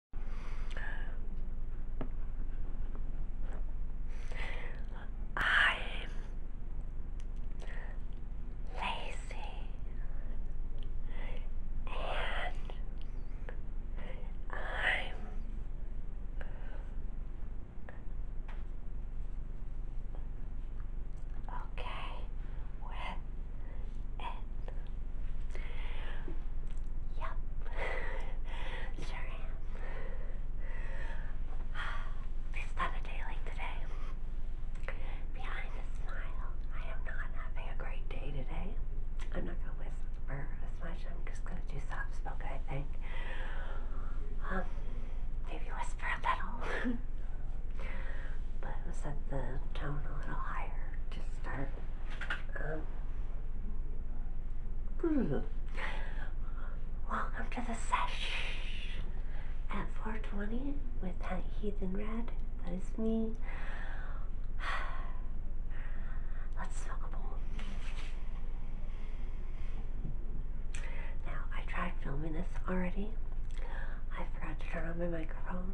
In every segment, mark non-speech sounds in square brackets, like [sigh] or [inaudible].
I'm lazy and I'm okay with Yep, [laughs] sure [sighs] It's not a day like today. Behind the smile, I am not having a great day today. I'm not gonna whisper as much. I'm just gonna do soft spoken. I think. Um, maybe whisper a little, [laughs] but set the tone a little higher to start welcome to the session at 420 with that heathen red. That is me. [sighs] Let's smoke a bowl. Now, I tried filming this already. I forgot to turn on my microphone.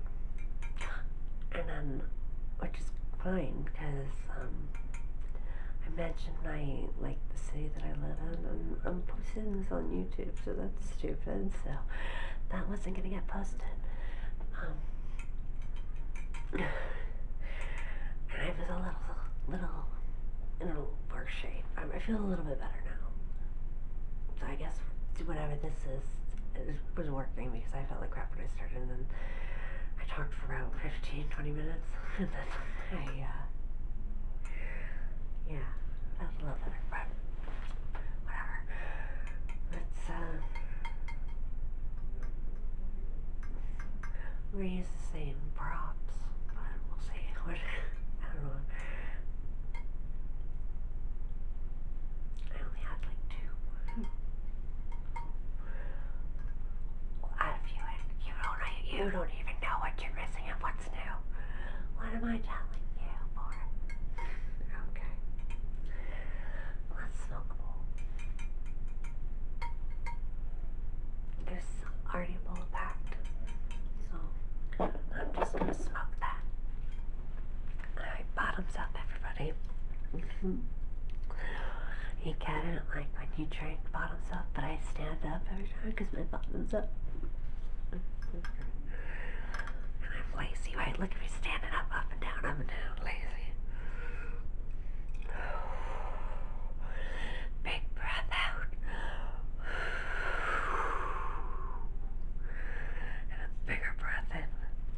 And then, which is fine because um, I mentioned I like the city that I live in. and I'm posting this on YouTube, so that's stupid. So that wasn't gonna get posted. Um, I was a little, little in a worse shape. I, I feel a little bit better now. So I guess whatever this is was working because I felt like crap when I started and then I talked for about 15, 20 minutes [laughs] and then I, uh, yeah, I was a little better, but whatever. Let's, uh, i use the same props, but we'll see. [laughs] What, I don't know. I only had like two well, if you, you don't, you don't even know what you're missing and what's new. What am I telling you Okay. Let's smoke There's already a bowl so I'm just gonna smoke that. Alright, bottoms up, everybody. Mm-hmm. You kind of don't like when you drink bottoms up, but I stand up every time because my bottoms up. And I'm lazy, right? Look at me standing up, up and down, up and down, lazy. Big breath out. And a bigger breath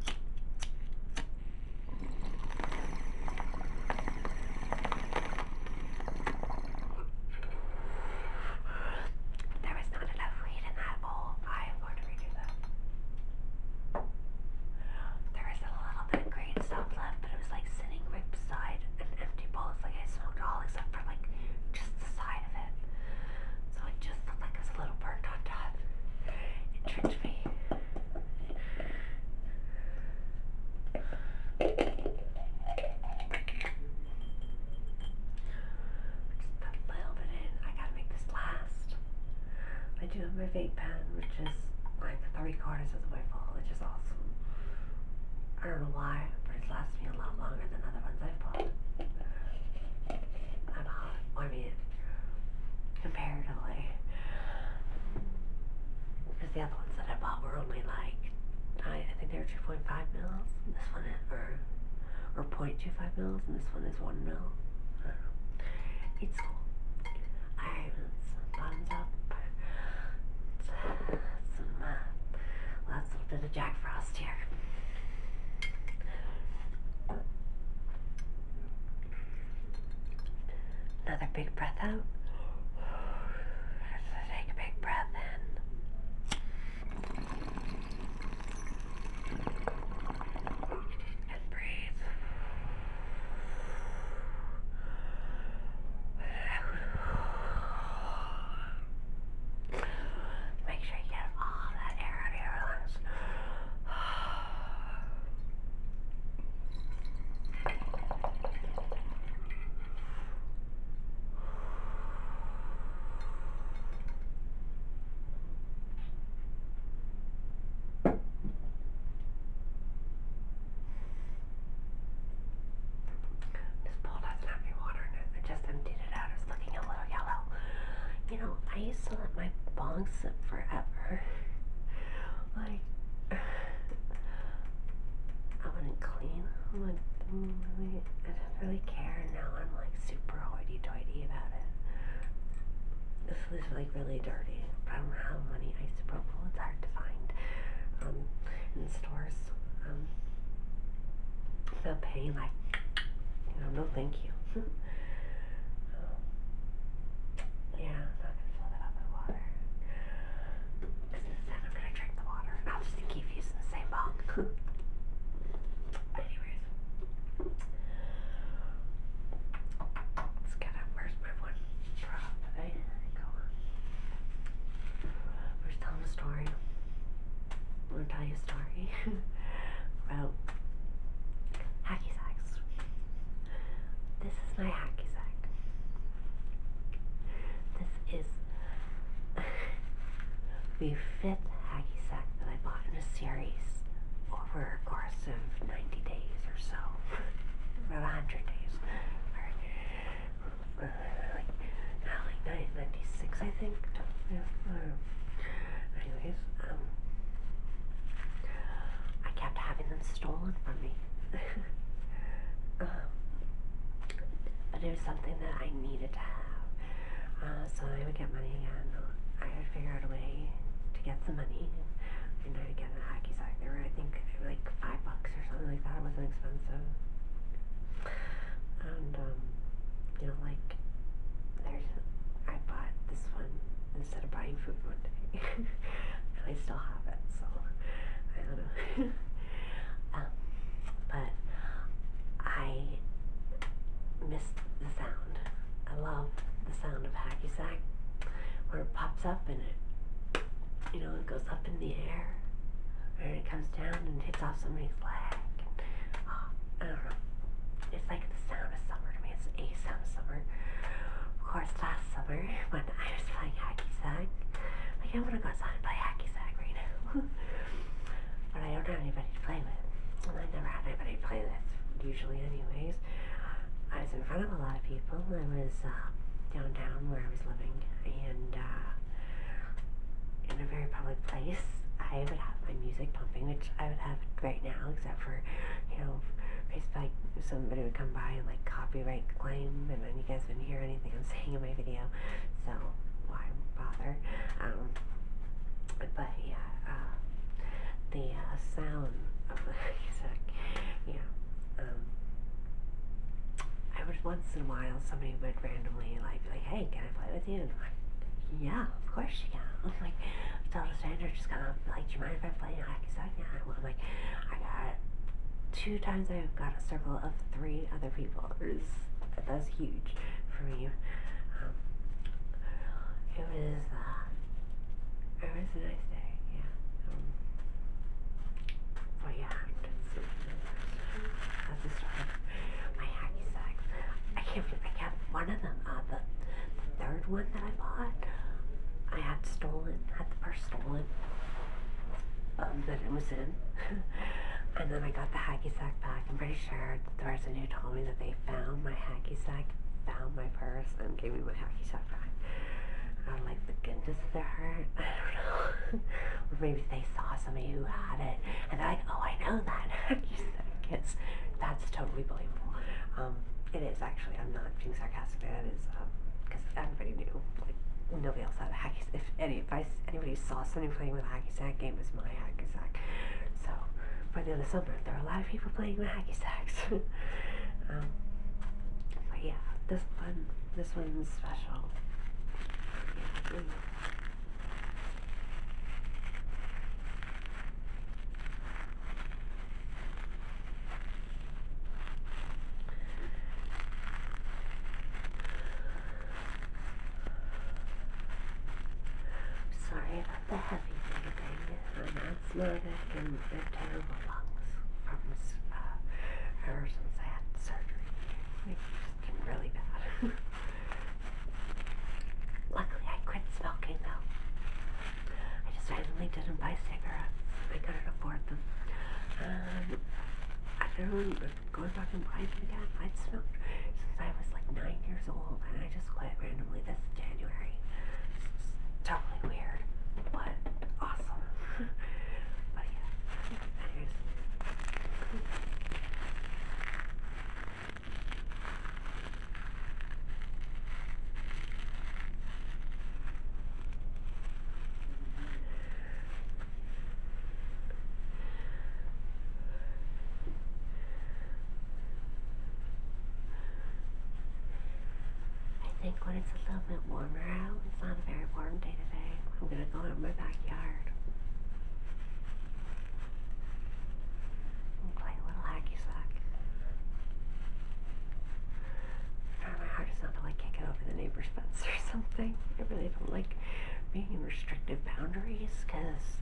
in. There was not enough weed in that bowl. I am going to redo that. There was a little bit of green stuff left, but it was like sitting right beside an empty bowl. It's like I smoked all except for like just the side of it. So it just looked like it was a little bird on top. It tricked me. Just a little bit in. I gotta make this last. I do have my vape pen, which is like three quarters of the way full, which is awesome. I don't know why, but it lasts me a lot longer than other ones I've bought. I'm hot. I mean, comparatively. Because the other ones that I bought were only like, I, I think they were 2.5 mils. this one, is, or, or 0.25 mils, and this one is 1 mil. It's cool. Alright, bottoms up. Some, uh, lots of bit of Jack Frost here. Another big breath out. Take a big breath in. And breathe. Make sure you get all that air out of your lungs. This bowl doesn't have any water in it. I just emptied it out. It's looking a yellow, You know, I used to let my bong sit forever. Like, I wouldn't clean. I'm like, mm, really, I didn't really care. Now I'm like super hoity-toity about it. This was like really dirty. I don't know how many isopropyl it's hard to find um, in stores. Um, without paying like, you know, no thank you. [laughs] Um, yeah, I'm not gonna fill that up with water. Because I'm gonna drink the water I'll just keep using the same bong. [laughs] Anyways. Let's get up. Where's my one prop? Eh? telling a story. I'm gonna tell you a story [laughs] about hacky sacks. This is my hacky sack. This is [laughs] the fifth hacky sack that I bought in a series over a course of 90 days or so, [laughs] about 100 days. Or, uh, like, uh, 96, I think. Yeah. Anyways, um, I kept having them stolen from me. [laughs] um, but it was something that I needed to have. Uh, so I would get money again. I would figure out a way to get some money. And I'd get a hacky sack. They were, I think, like five bucks or something like that. It wasn't expensive and um, you know, like there's, I bought this one instead of buying food one day, [laughs] and I still have it. So I don't know, [laughs] um, but I missed the sound. I love the sound of hacky sack where it pops up and it, you know, it goes up in the air and it comes down and hits off somebody's leg. Oh, I don't know. It's like the sound of summer to me. It's a sound of summer. Of course, last summer when I was playing hacky sack, like I want to go outside and play hacky sack right now, [laughs] but I don't have anybody to play with, and I never had anybody to play with usually, anyways. I was in front of a lot of people. I was uh, downtown where I was living, and uh, in a very public place, I would have my music pumping, which I would have right now, except for, you know, Facebook, somebody would come by and like copyright claim, and then you guys wouldn't hear anything I'm [laughs] saying in my video, so why bother? Um, but yeah, uh, the uh, sound of the [laughs] music, yeah. Um, I would once in a while somebody would randomly like be like, hey play with you? yeah, of course you can. [laughs] I'm like, I told a stranger just got up, like, do you mind if I play? And I like, yeah, I will. I'm like, I got two times I've got a circle of three other people. [laughs] Was, that's huge for me. Um, it was, uh, it was a nice day, yeah. Um, yeah, I just started. My hacky sack. I can't believe I kept one of them. Uh, the, the third one that I bought, I had stolen. Had the purse stolen um, that it was in. [laughs] and then I got the hacky sack back. I'm pretty sure the person who told me that they found my hacky sack found my purse and gave me my hacky sack back. I was like, the goodness of their heart. [laughs] I don't know. [laughs] maybe they saw somebody who had it and they're like, oh, I know that. you [laughs] That's totally believable. Um, it is actually. I'm not being sarcastic. That is because um, everybody knew. Like nobody else had a hacky. If if anybody saw somebody playing with a hacky sack game, it was my hacky sack. So, but in the summer, there are a lot of people playing with hacky sacks. [laughs] Um, but yeah, this one, this one's special. Sorry about the heavy breathing. I know it's not I can get terrible lungs from uh, ever since I had surgery. It's been really bad. [laughs] Luckily, I quit smoking though. I just randomly didn't buy cigarettes. I couldn't afford them. Um, I don't remember going back and buy them again. I'd smoked since I was like nine years old, and I just quit randomly this January. totally weird, but awesome. [laughs] but yeah. I think when it's a little bit warmer out, it's not a very warm day today. I'm gonna go out in my backyard play a little hacky sack. Try my hardest not to like kick over the neighbor's fence or [laughs] something. I really don't like being in restrictive boundaries because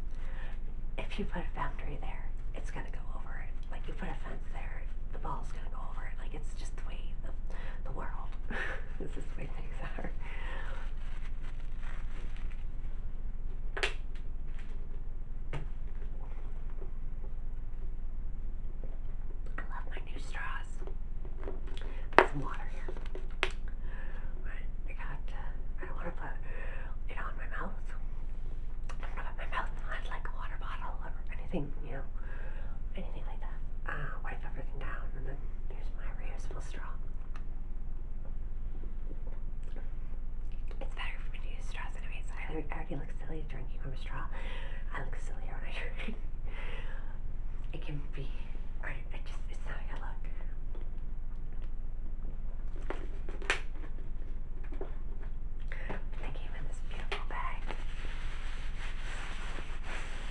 if you put a boundary there, it's gonna go over it. Like you put a fence there, the ball's gonna go over it. Like it's just the way the, the world. [laughs] [laughs] this is the way things are. I love my new straws. some water here. Right, I got, uh, I don't want to put it on my mouth. I don't to put my mouth on like a water bottle or anything, you know, anything like that. Uh, wipe everything down and then here's my reusable straw. It's better for me to use straws anyways. I, look silly drinking from a straw. I look sillier when I drink. it can be, I, I just, it's not a good look. They came in this beautiful bag.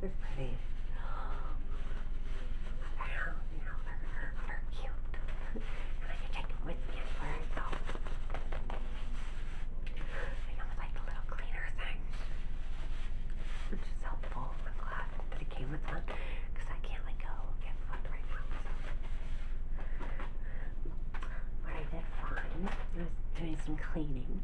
They're pretty. Wow, you know, they're, they're cute. I'm take them with me everywhere I go. like the little cleaner things. Which is helpful. I'm that it came with one because I can't let go of getting right now. I did find, I was doing some cleaning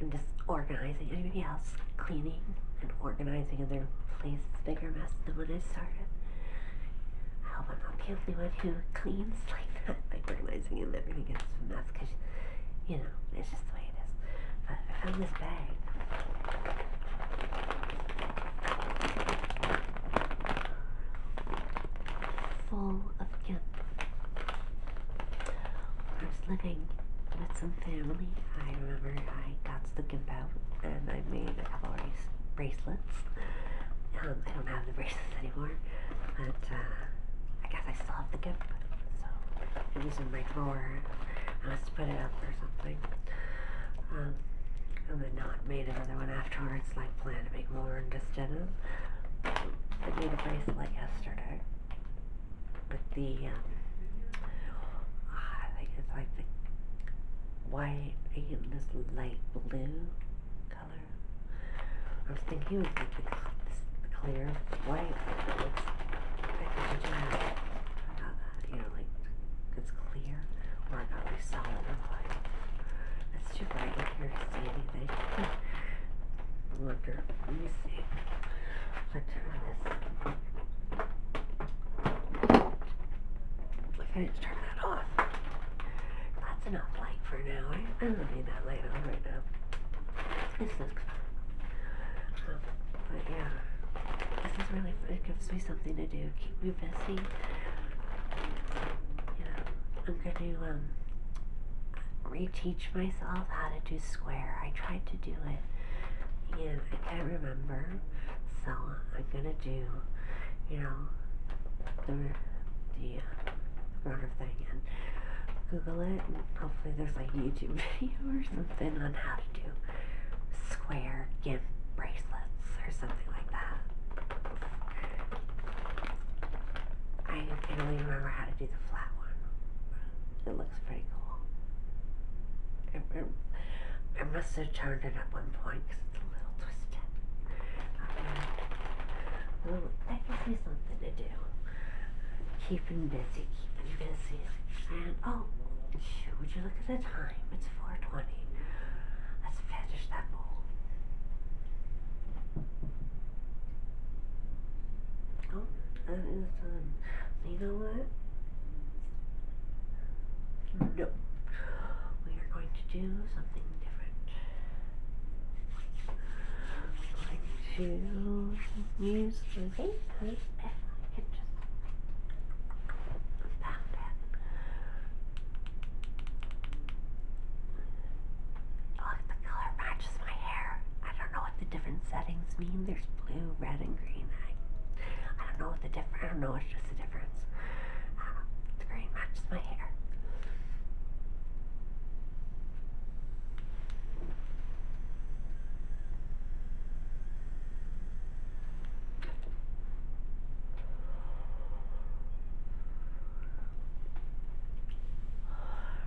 and just organizing. Anybody else cleaning and organizing and their place? is Bigger mess than when I started. I hope I'm not the only one who cleans like that, like organizing and they're everything gets a mess because, you know, it's just the way it is. But I found this bag full of gifts. I was living with some family, I remember I got the gimp out and I made a couple of bracelets. Um, I don't have the bracelets anymore, but uh, I guess I still have the gift. so it was in my drawer. I had to put it up or something. I um, and not made another one afterwards, like plan. I'm going to make more in this denim. I made a bracelet yesterday with the, um, ah, I think it's like the white and this light blue color. I was thinking it was like this, clear white. It's, you know, like it's clear, or I got like solid light. It's too bright in here to see anything. Look, let me see. If I turn this. that off. That's enough light for now. I, I don't need that light on right now. This looks fun. but yeah, this is really It gives me something to do you busy. I'm going to um, reteach myself how to do square. I tried to do it and I can't remember, so I'm going to do, you know, the, the runner thing and Google it and hopefully there's like a YouTube [laughs] video or something on how to do square GIMP bracelets or something like that. I can only remember how to do the flat one. It looks pretty cool. I must have turned it at one point because it's a little twisted. Um, uh, little, that gives me something to do. Keeping busy, keeping busy. And oh, shoot, would you look at the time? It's 4 Let's finish that bowl. Oh, that is done. Um, you know what? No. We are going to do something different. I'm to use the paper and just pound it Look, the color matches my hair. I don't know what the different settings mean. There's blue, red, and green. I, I don't know what the different. I don't know. It's just a difference. Uh, the green matches my hair.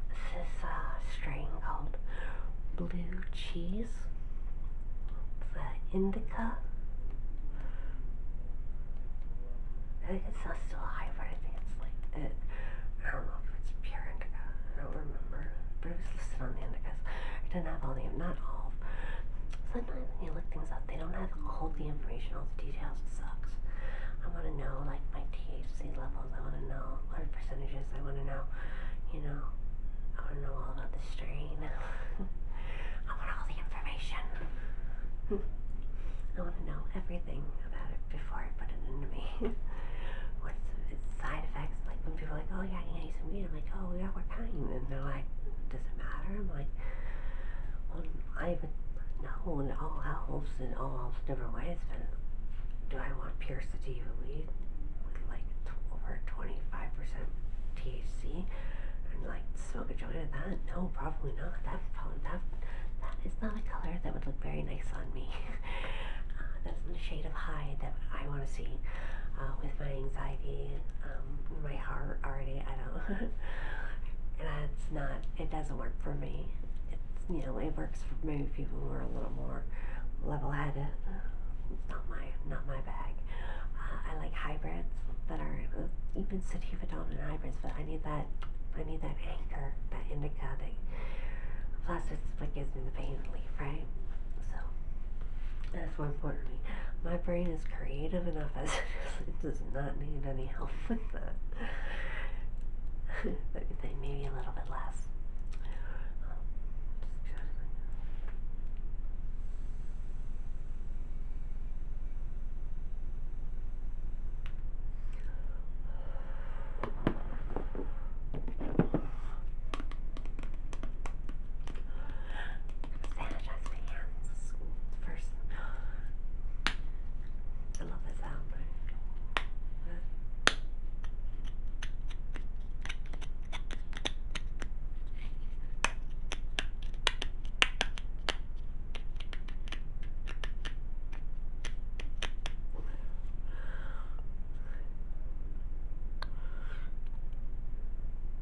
This is a strain called blue cheese. It's an indica. I think it's not still high, but I think it's like it. I don't know if it's pure indica. I don't remember. But it was listed on the indicas. I didn't have all the, not all. Sometimes when you look things up. They don't have all the information, all the details. It sucks. I want to know like my THC levels. I want to know large percentages. I want to know, you know, I want to know all about the strain. [laughs] I want all the information. [laughs] I want to know everything about it before I put it into me. [laughs] What's its side effects? Like when people are like, oh yeah, you know, you some weed. I'm like, oh yeah, we're cutting. And they're like, does it matter? I'm like, well, I even know and all elves and all elves different ways, but do I want pure sativa weed with like t over 25% THC? And like smoke a joint of that? No, probably not. That probably that that is not a color that would look very nice on me. [laughs] uh, that's the shade of hide that I want to see uh, with my anxiety and um, my heart already. I don't. [laughs] and it's not. It doesn't work for me. It's you know it works for maybe people who are a little more level-headed. It's not my not my bag. Uh, I like hybrids that are uh, even sativa and hybrids, but I need that I need that anchor, that indica thing. Plus, it's what gives me the pain relief, right? So that's one point. to me. My brain is creative enough as it, is. [laughs] it does not need any help [laughs] with that. [laughs] maybe a little bit less finish off my hair first. I love the sound.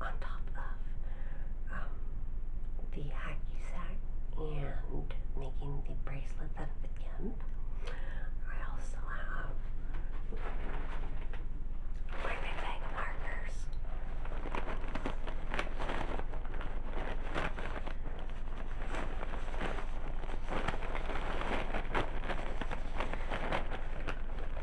on top of um, the hacky sack and making the bracelet out of the gimp. I also have my big bag markers.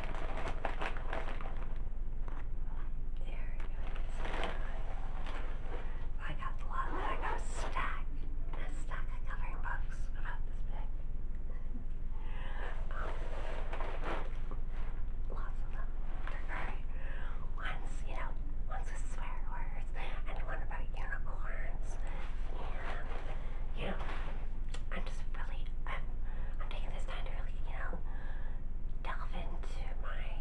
There it is. I got a I got stack, a stack of coloring books about this big. Um, lots of them. Right. One's, you know, one's with swear words, and one about unicorns, you know, I'm just really, I'm, taking this time to really, you know, delve into my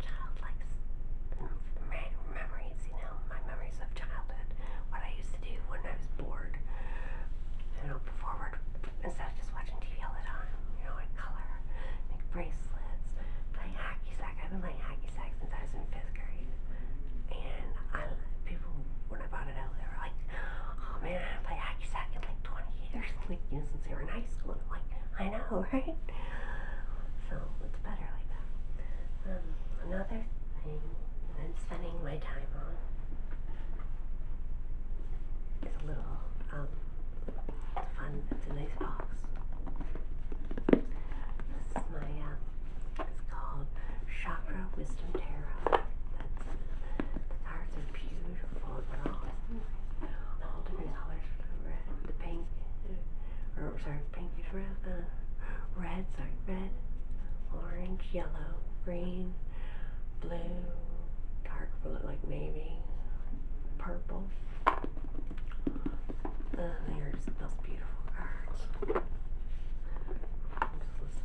childlike my memories, you know, my memories of childhood, what I used to do when I was bored, you know, forward, instead of just watching TV all the time, you know, I color, make bracelets, playing hacky sack. I've been playing hacky sack since I was in fifth grade. And I, people, when I brought it out, they were like, Oh, man, I haven't played hacky sack in like 20 years, like, you know, since they were in high school. And I'm like, I know, [laughs] right? So it's better like that. Um, another thing that I'm spending my time on is a little um, fun, it's a nice box. This is my uh, it's called Chakra Wisdom Tarot. That's, the cards are beautiful. all, different colors. The red, the pink, or sorry, pink is red. Uh, red, sorry, red, orange, yellow, green, blue, dark blue, like maybe purple. Uh, there's those beautiful cards. Just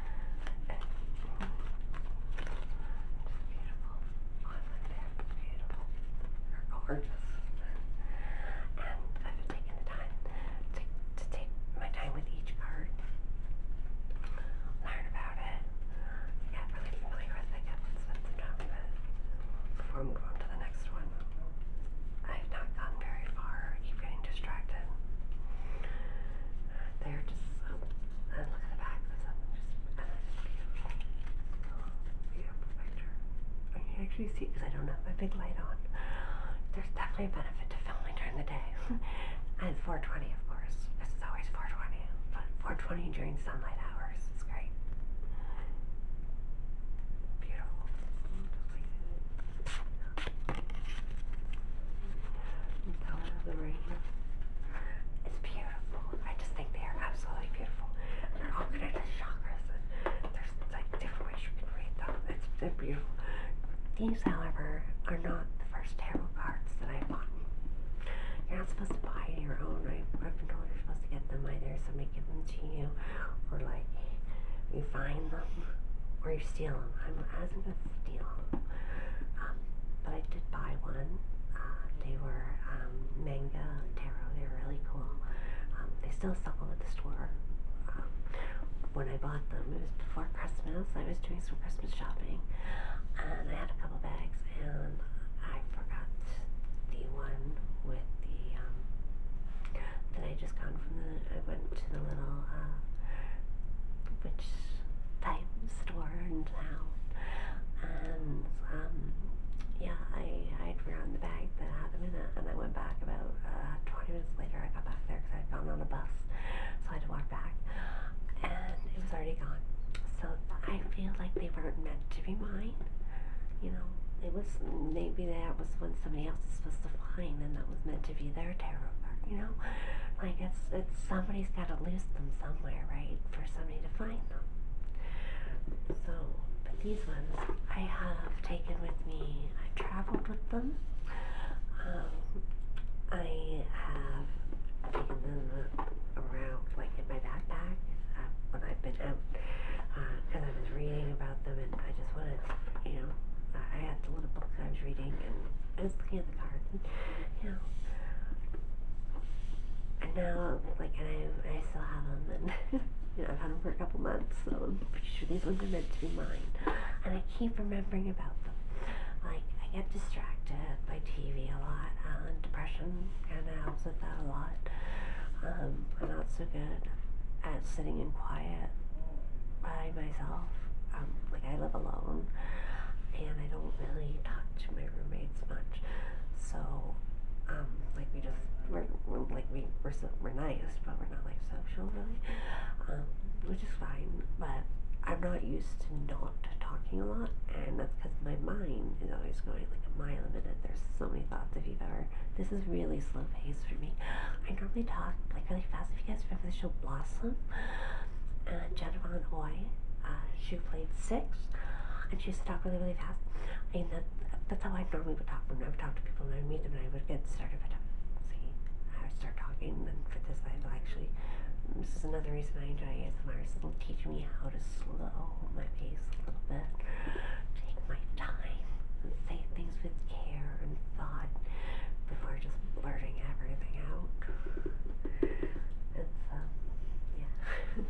beautiful island beautiful. They're gorgeous. And I've taken the time to, to take my time with each card, learn about it, get really familiar with it, get spend some time it before I move on to the next one. I have not gone very far I keep getting distracted. They're just, oh, and look at the back, uh, I can actually see, because I don't have my big light on. There's definitely a benefit to filming during the day. [laughs] and 420, of course. This is always 420. But 420 during sunlight hours is great. Beautiful. The color the rain is beautiful. I just think they are absolutely beautiful. They're all connected chakras. there's like different ways you can read them. It's they're beautiful. These, however, are not the first tarot cards that I have bought. You're not supposed to buy your own. I, I've been told you're supposed to get them either. So Somebody give them to you, or like you find them or you steal them. I'm, I am was not going to steal them. Um, but I did buy one. Uh, they were um, manga tarot. They were really cool. Um, they still sell them at the store. when I bought them, it was before Christmas. I was doing some Christmas shopping. And I had a couple bags. And I forgot the one with the that I just gone from the, I went to the little uh, witch type store in town and um, yeah, I, I'd forgotten the bag that I had them in it and I went back about uh, 20 minutes later I got back there because I'd gone on a bus so I had to walk back and it was already gone so I feel like they weren't meant to be mine you know, it was maybe that was when somebody else was supposed to find and was meant to be their tarot card, you know? Like it's it's somebody's gotta lose them somewhere, right? For somebody to find them. So but these ones I have taken with me. I've traveled with them. Um I have taken them around like in my backpack uh, when I've been out because uh, I was reading about them, and I just wanted, you know, I, had the little book that I was reading, and I was looking at the card, and, you know, and now, like, and I, I still have them, and, [laughs] you know, I've had them for a couple months, so I'm pretty sure these ones are meant to be mine, and I keep remembering about them. Like, I get distracted by TV a lot, and depression kind of helps with that a lot. Um, I'm not so good at sitting in quiet by myself. Um, like I live alone, and I don't really touch my roommates much. So, um, like we just we're, like we we're we're nice, but we're not like social really, um, which is fine. But I'm not used to not talking a lot, and that's because my mind is always going like a mile a minute. There's so many thoughts. If you've ever this is really slow pace for me. I normally talk like really fast. If you guys remember the show Blossom, and Jennifer and Oi, uh, she played six, and she used to talk really, really fast. And that, that's how I normally would talk when I would talk to people and I would meet them and I would get started by talking. See, I would start talking, and for this, I will actually. This is another reason I enjoy ASMR. Is it'll teach me how to slow my pace a little bit, take my time, and say things with care and thought before just blurting everything out. It's, um, yeah.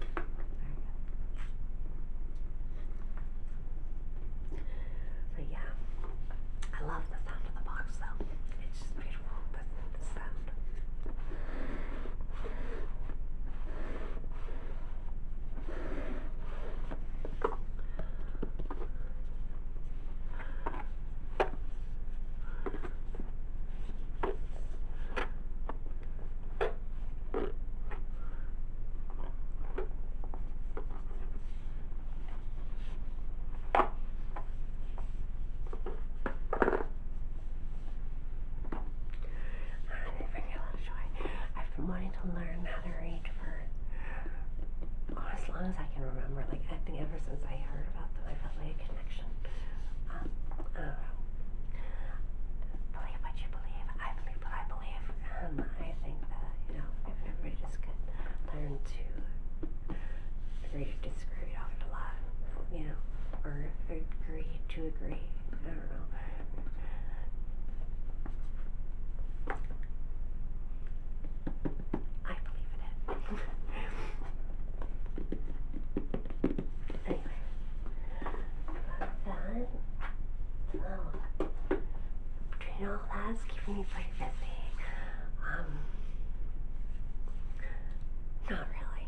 there yeah, I love the sound of the box though. It's just beautiful, the, the sound. I'm I've been wanting to learn for as long as I can remember. Like I think ever since I heard about them, I felt like a connection. Um, believe what you believe. I believe what I believe. Um, I think that you know if everybody just could learn to agree to disagree, we'd You know, or agree to agree. I don't know. I believe in it. anyway, done. Oh, doing all that's keeping me busy. Um, not really.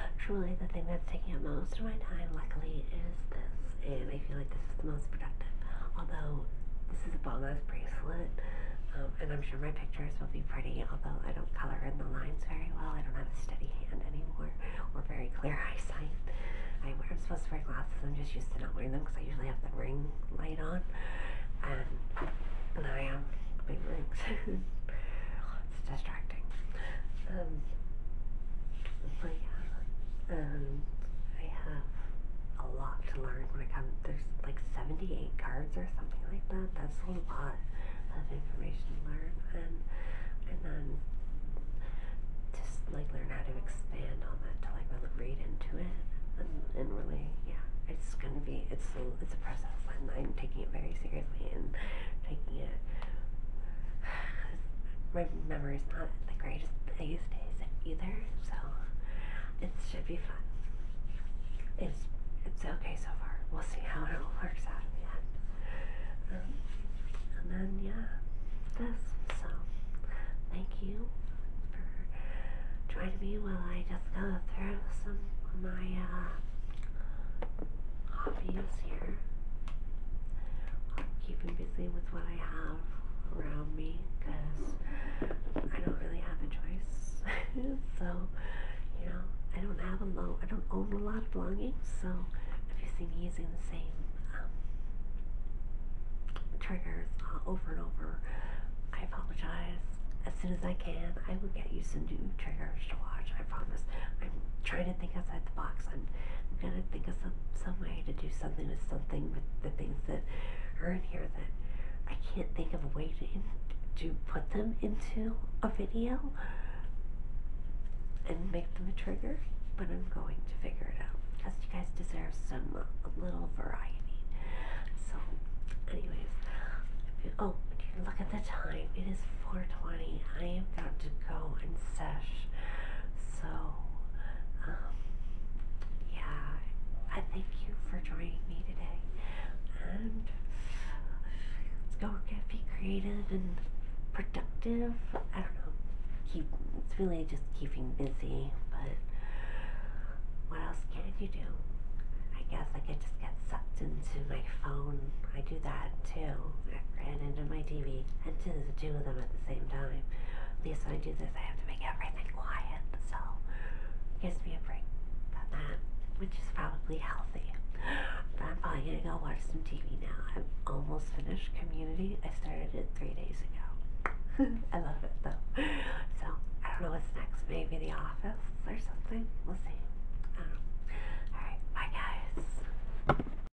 [laughs] Truly, the thing that's taking up most of my time, luckily, is this and I feel like this is the most productive. Although this is a ball-nose bracelet, um, and I'm sure my pictures will be pretty, although I don't color in the lines very well. I don't have a steady hand anymore or very clear [laughs] eyesight. I, I'm supposed to wear glasses. I'm just used to not wearing them because I usually have the ring light on. And now I am big rings. [laughs] it's distracting. Um, my God. Um, I have a lot to learn when it comes. There's like 78 cards or something like that. That's a lot of information to learn, and and then just like learn how to expand on that to like really read into it and, and really yeah. It's gonna be it's it's a process, and I'm taking it very seriously and taking it my memory's not the greatest these days either, so it should be fun. It's it's okay so far. We'll see how it all works out in the end. Um, and then yeah, this. So thank you for joining me while I just go through some of my uh, hobbies here. keeping busy with what I have around me because I don't really have a choice. [laughs] so, you know, I don't have a lot, I don't own a lot of belongings. So, if you see me using the same um, triggers uh, over and over, I apologize. As soon as I can, I will get you some new triggers to watch. I promise. I'm trying to to think outside the box. I'm, I'm gonna think of some some way to do something with something with the things that are in here that I can't think of a way to to put them into a video and make them a trigger. But I'm going to figure it out because you guys deserve some uh, little variety. So, anyways, oh, look at the time. It is 4:20. I am about to go and sesh. So, um, yeah, I thank you for joining me today. And let's go get be creative and productive. I don't know. Keep it's really just keeping busy, but what else can you do? I guess I could just get sucked into my phone. I do that too. I ran into my TV and to the two of them at the same time. At least when I do this, I have to make everything quiet, so it gives me a break from that, which is probably healthy. But I'm probably gonna go watch some TV now. I'm almost finished Community. I started it three days ago. [laughs] I love it though. So I don't know what's next. Maybe The Office or something. We'll see. I don't know. Alright, bye guys.